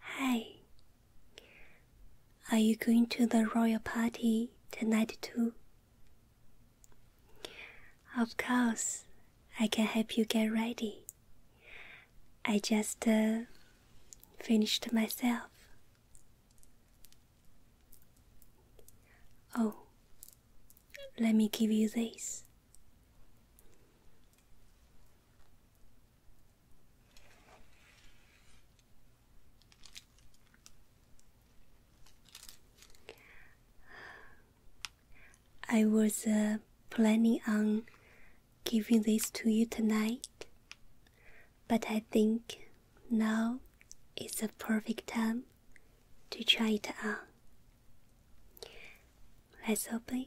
Hi. Are you going to the royal party tonight too? Of course, I can help you get ready. I just uh, finished myself. Oh, let me give you this. I was uh, planning on giving this to you tonight, but I think now is the perfect time to try it on. Let's open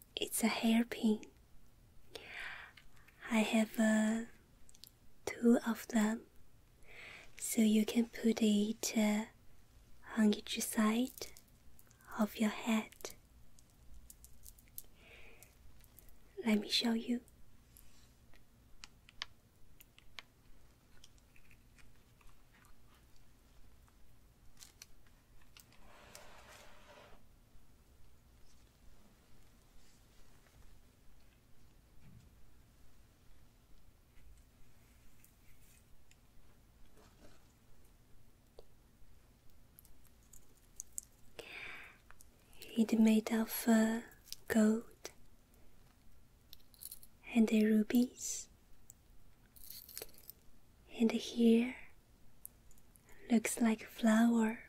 it's a hairpin. I have uh, two of them, so you can put it uh, on each side of your head. Let me show you. It's made of uh, gold and the rubies, and here Looks like a flower.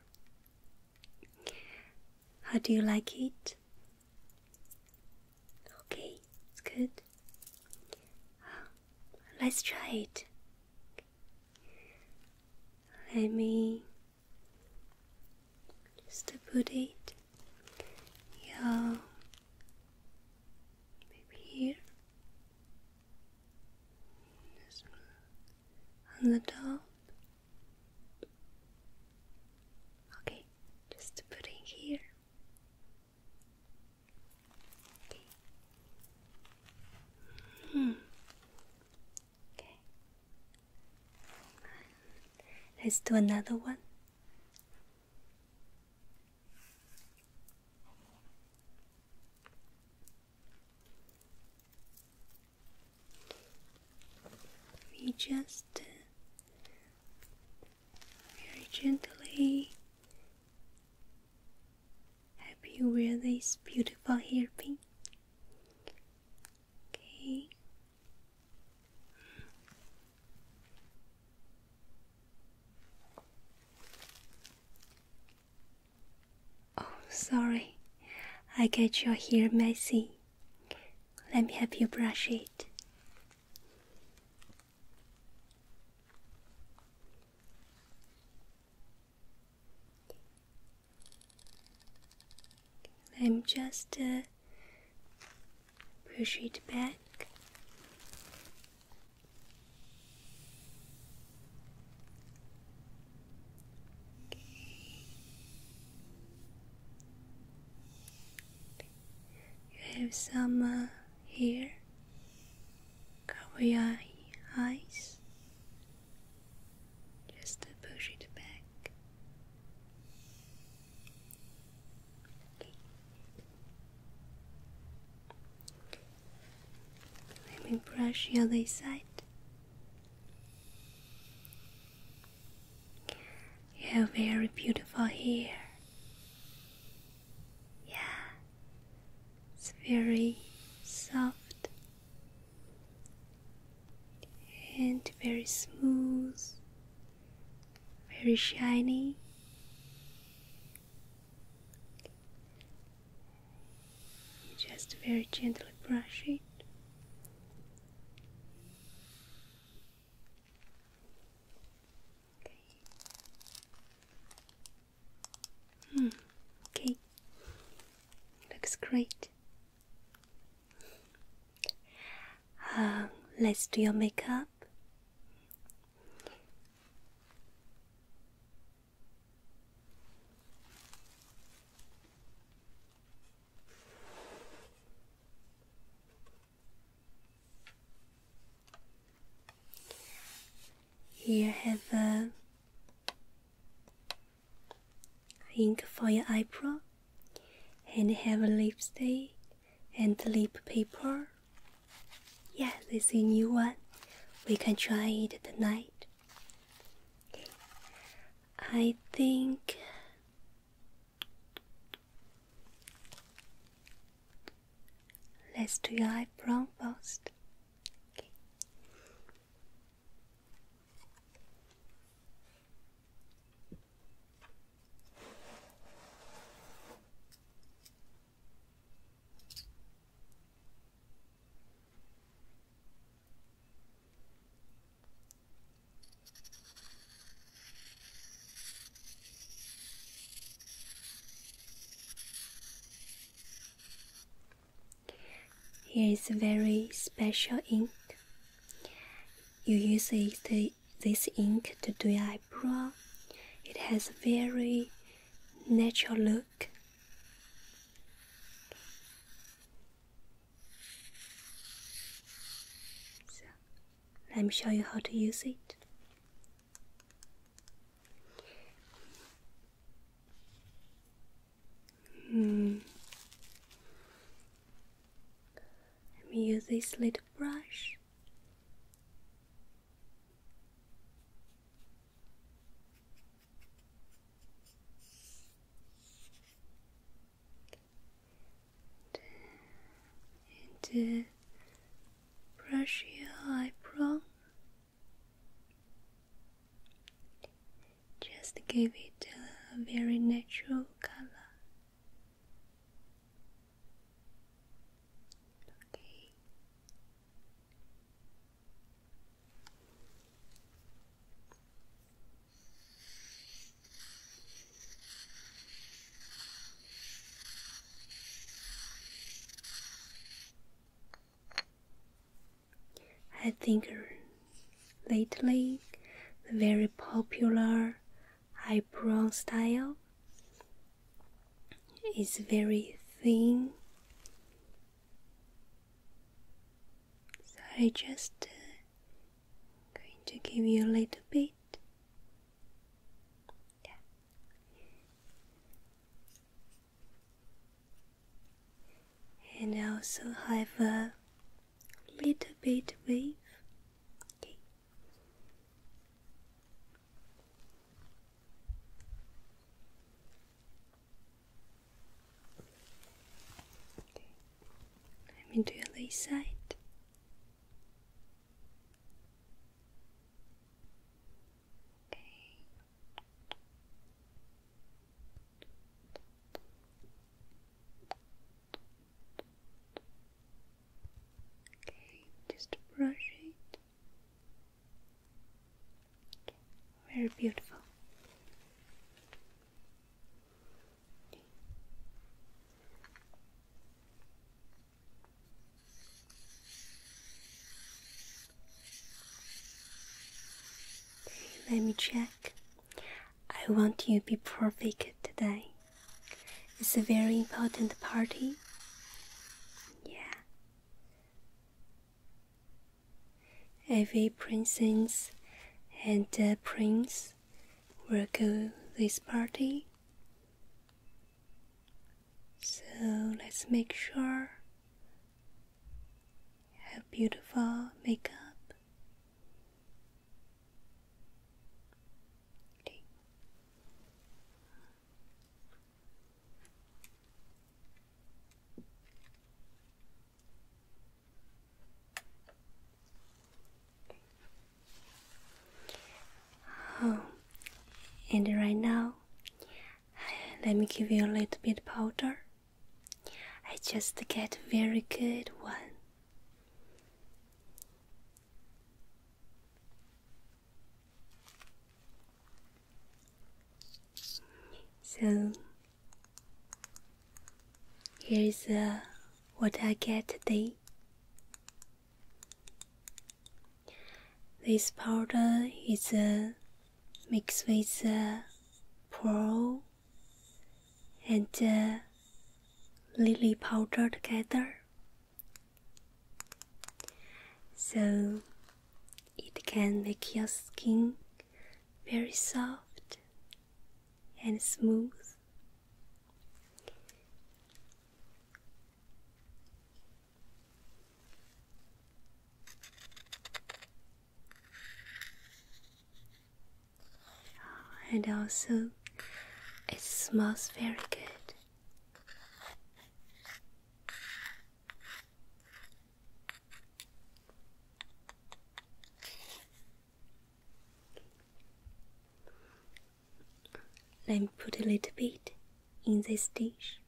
How do you like it? Okay, it's good. Let's try it. Let me just put it yeah, maybe here. This on the top. Okay, just put here. Hmm. Okay. Let's do another one. We just uh, very gently help you wear this beautiful hairpin. Okay. Oh, sorry. I get your hair messy. Let me help you brush it. I'm just uh, push it back you have some uh, here. your eyes. Just push it back. Let me brush the other side. You have very beautiful hair. Yeah, it's very soft and very smooth, very shiny just very gently brush it. Okay. Hmm. Looks great. Um, let's do your makeup. Here have a ink for your eyebrow and have a lipstick and lip paper yeah, this is a new one. We can try it tonight. Okay. I think let's do your eyebrow first. Here is a very special ink. You use this ink to do your eyebrow. It has a very natural look let me show you how to use it. Hmm. Let me use this little brush and uh, brush your eyebrow. Just give it a very natural color. Okay. I think lately the very popular eyebrow style it's very thin. So I am just uh, going to give you a little bit. And I also have a little bit wave i Let me do your left side. Okay. Okay, just brush it. Very beautiful. let me check. I want you to be perfect today. It's a very important party. Yeah. Every princess and prince will go this party. So let's make sure you have beautiful makeup. Oh, and right now, let me give you a little bit powder. I just get very good one. So, here's uh, what I get today. This powder is uh, mixed with uh, pearl and lily powder together so it can make your skin very soft and smooth. And also, it smells very good. Let me put a little bit in this dish.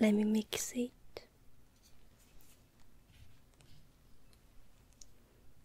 Let me mix it.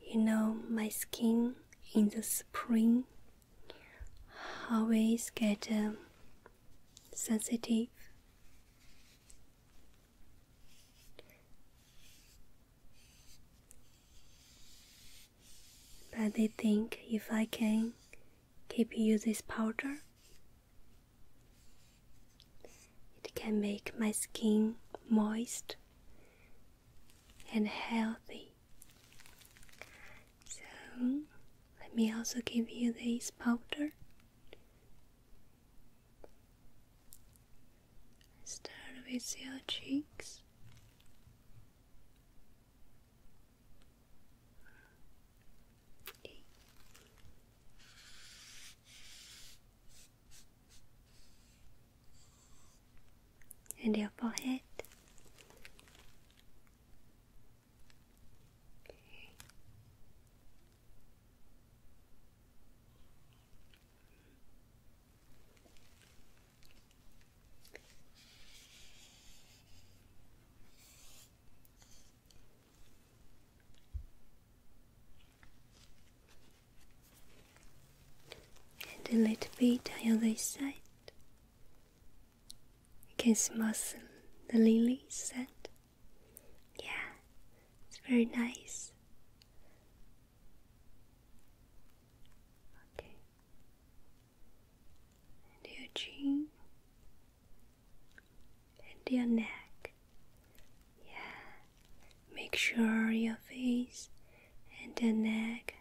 you know my skin in the spring always get um, sensitive but I think if I can keep using this powder it can make my skin moist and healthy. So, let me also give you this powder. Start with your cheeks and your forehead. Okay and a little bit on the other side. You can smooth the lily scent. Yeah, it's very nice. Okay, and your chin and your neck. Yeah, Make sure your face and your neck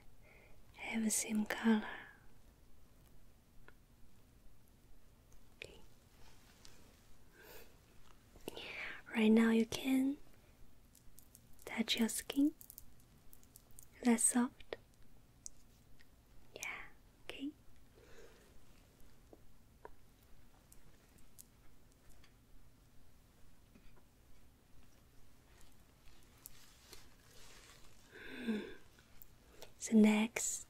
have the same color. Right now, you can touch your skin. That's soft. Yeah, okay. Hmm. So next,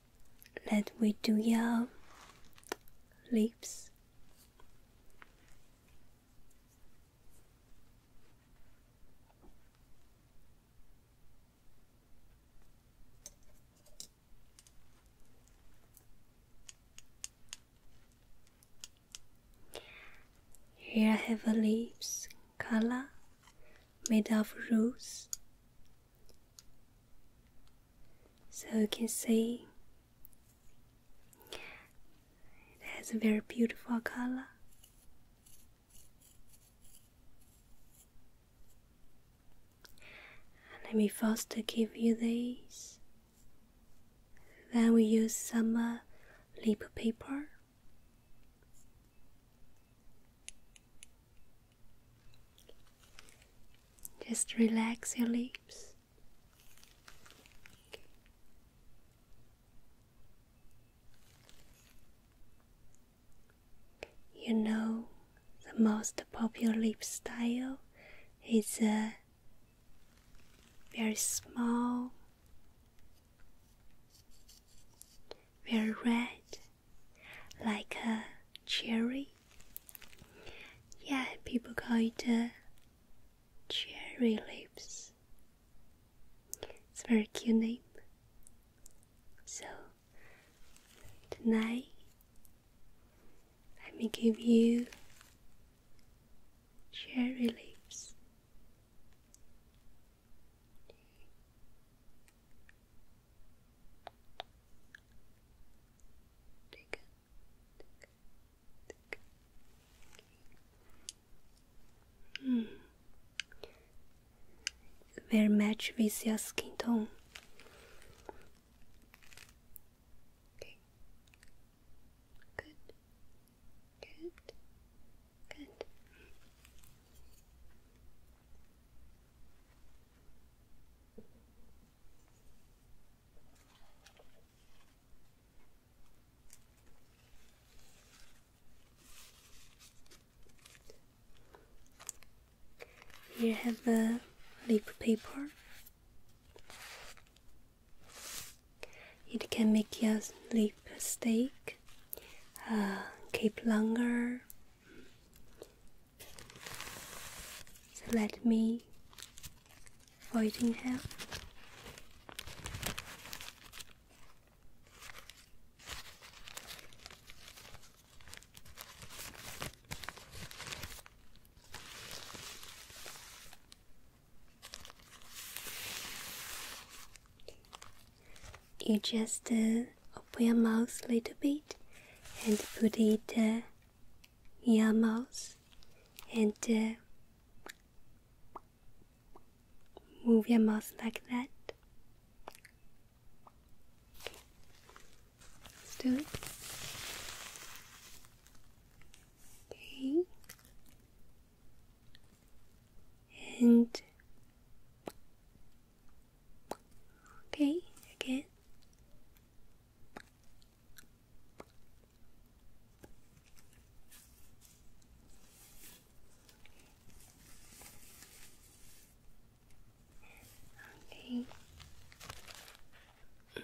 let we do your lips. Here I have a leaves color made of rose. So you can see it has a very beautiful color. Let me first give you these then we use some uh, lip paper. Just relax your lips. You know, the most popular lip style is a uh, very small very red, like a cherry. Yeah, people call it a cherry lips. It's a very cute name. So tonight, let me give you cherry leaves. Take it, take Very much with your skin tone. Good. Good. Good. Here have a lip paper it can make your sleep stake uh, keep longer. So let me Fighting him. You just uh, open your mouth a little bit and put it uh, in your mouth and uh, move your mouth like that. Let's do it. Okay and okay again. Okay.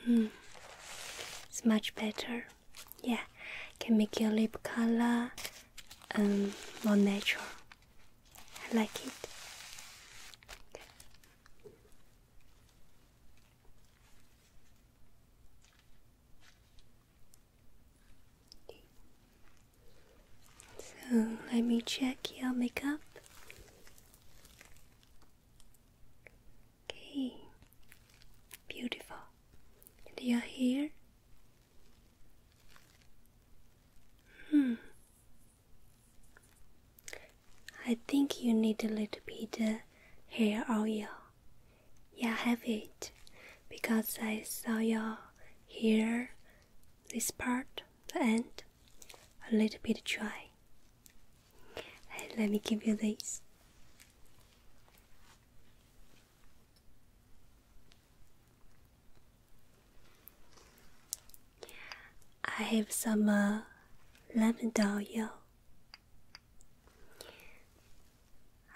Mm. It's much better yeah can make your lip color um more natural I like it so let me check your makeup Okay, beautiful. And your hair? Hmm. I think you need a little bit of hair oil. Yeah, have it because I saw your hair, this part, the end, a little bit dry. Let me give you this. I have some uh, lavender oil.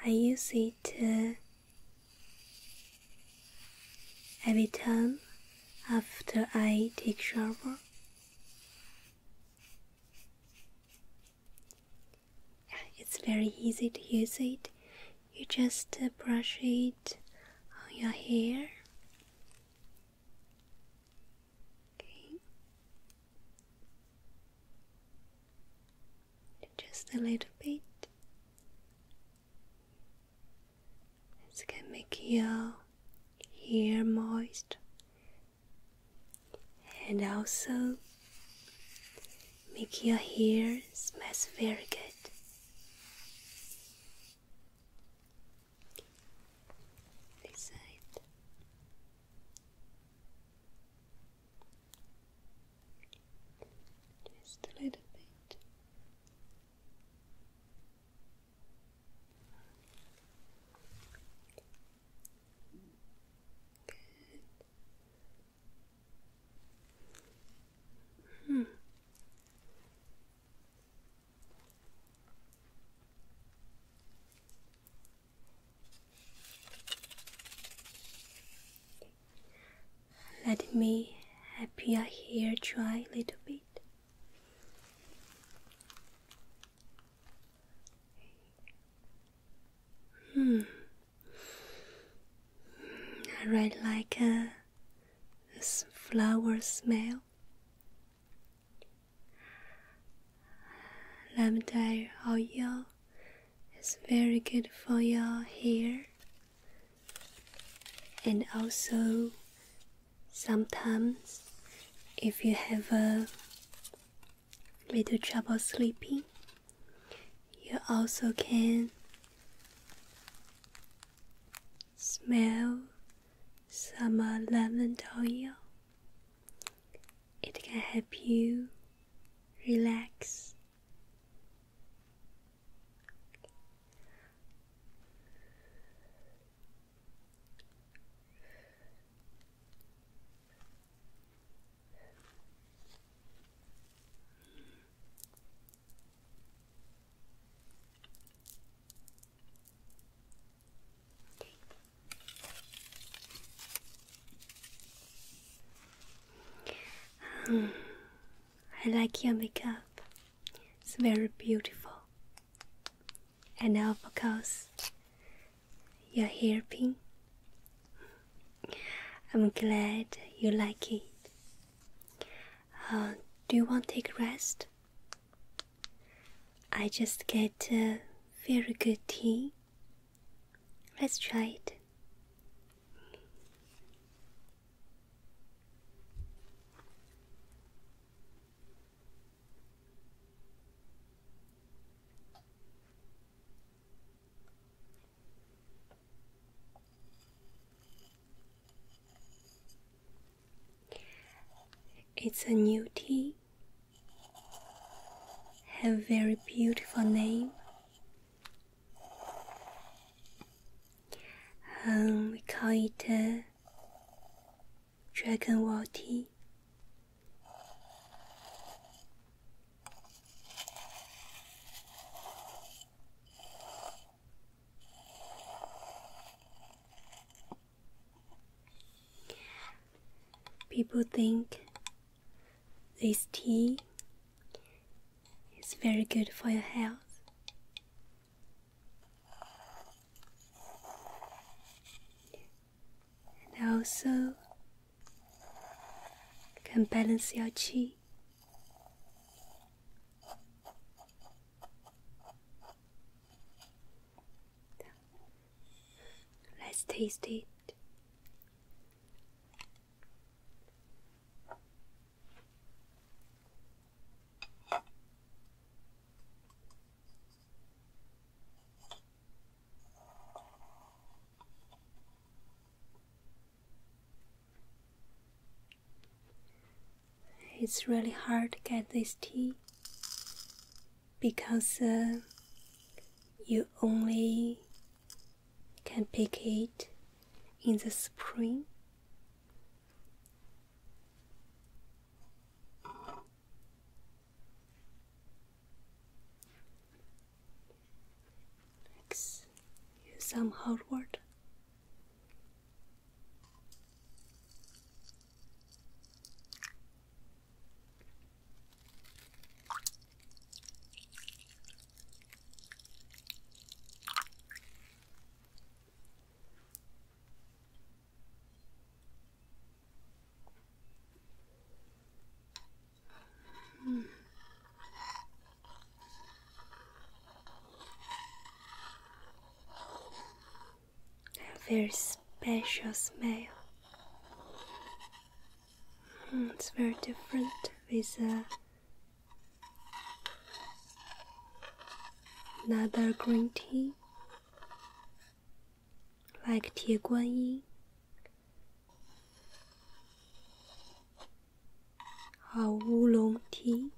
I use it every time after I take shower. It's very easy to use it. You just uh, brush it on your hair. Okay. Just a little bit. It's gonna make your hair moist and also make your hair smells very good. This side. Just a little bit. Hmm. Let me appear here, hair dry a little bit. Hmm. I really like a flower smell. Lavender oil is very good for your hair, and also sometimes if you have a little trouble sleeping, you also can smell summer uh, lavender oil. It can help you relax. I like your makeup. It's very beautiful. And now, of your hairpin. I'm glad you like it. Uh, do you want to take a rest? I just get uh, very good tea. Let's try it. It's a new tea, Have very beautiful name. Um, we call it uh, Dragon Wall tea. People think this tea is very good for your health and also can balance your chi. Let's taste it. It's really hard to get this tea because uh, you only can pick it in the spring. Next, use some hot water. Mm. A very special smell. Hmm, it's very different with uh, another green tea, like Tie Guanyin our oolong tea.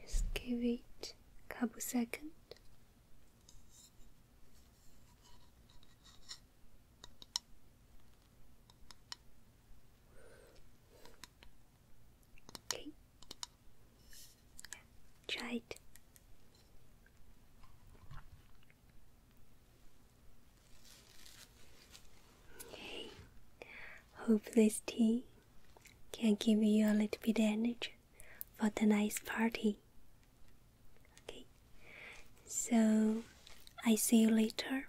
Just give it a couple seconds. Okay. Try Okay. Hope this tea can give you a little bit energy for tonight's party. Okay. So I see you later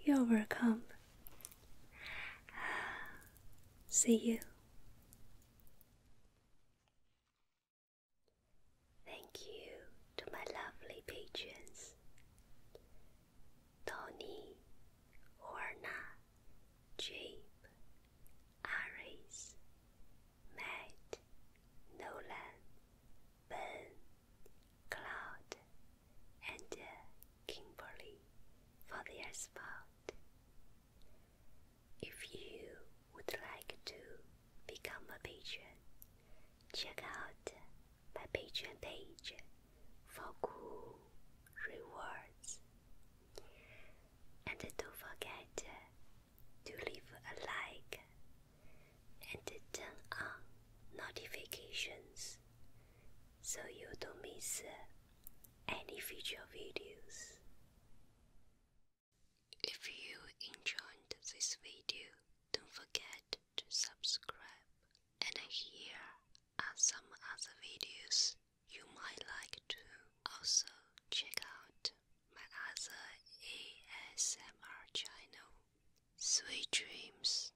you're welcome. See you. Thank you to my lovely patrons Tony, Orna, Jabe, Aris, Matt, Nolan, Ben, Cloud, and uh, Kimberly for their support. If you would like to become a patron, check out my Patreon page for cool rewards. And don't forget to leave a like and turn on notifications so you don't miss uh, any future videos. If you enjoyed this video, don't forget to subscribe. And here are some other videos you might like to also check out my other ASMR channel, Sweet Dreams.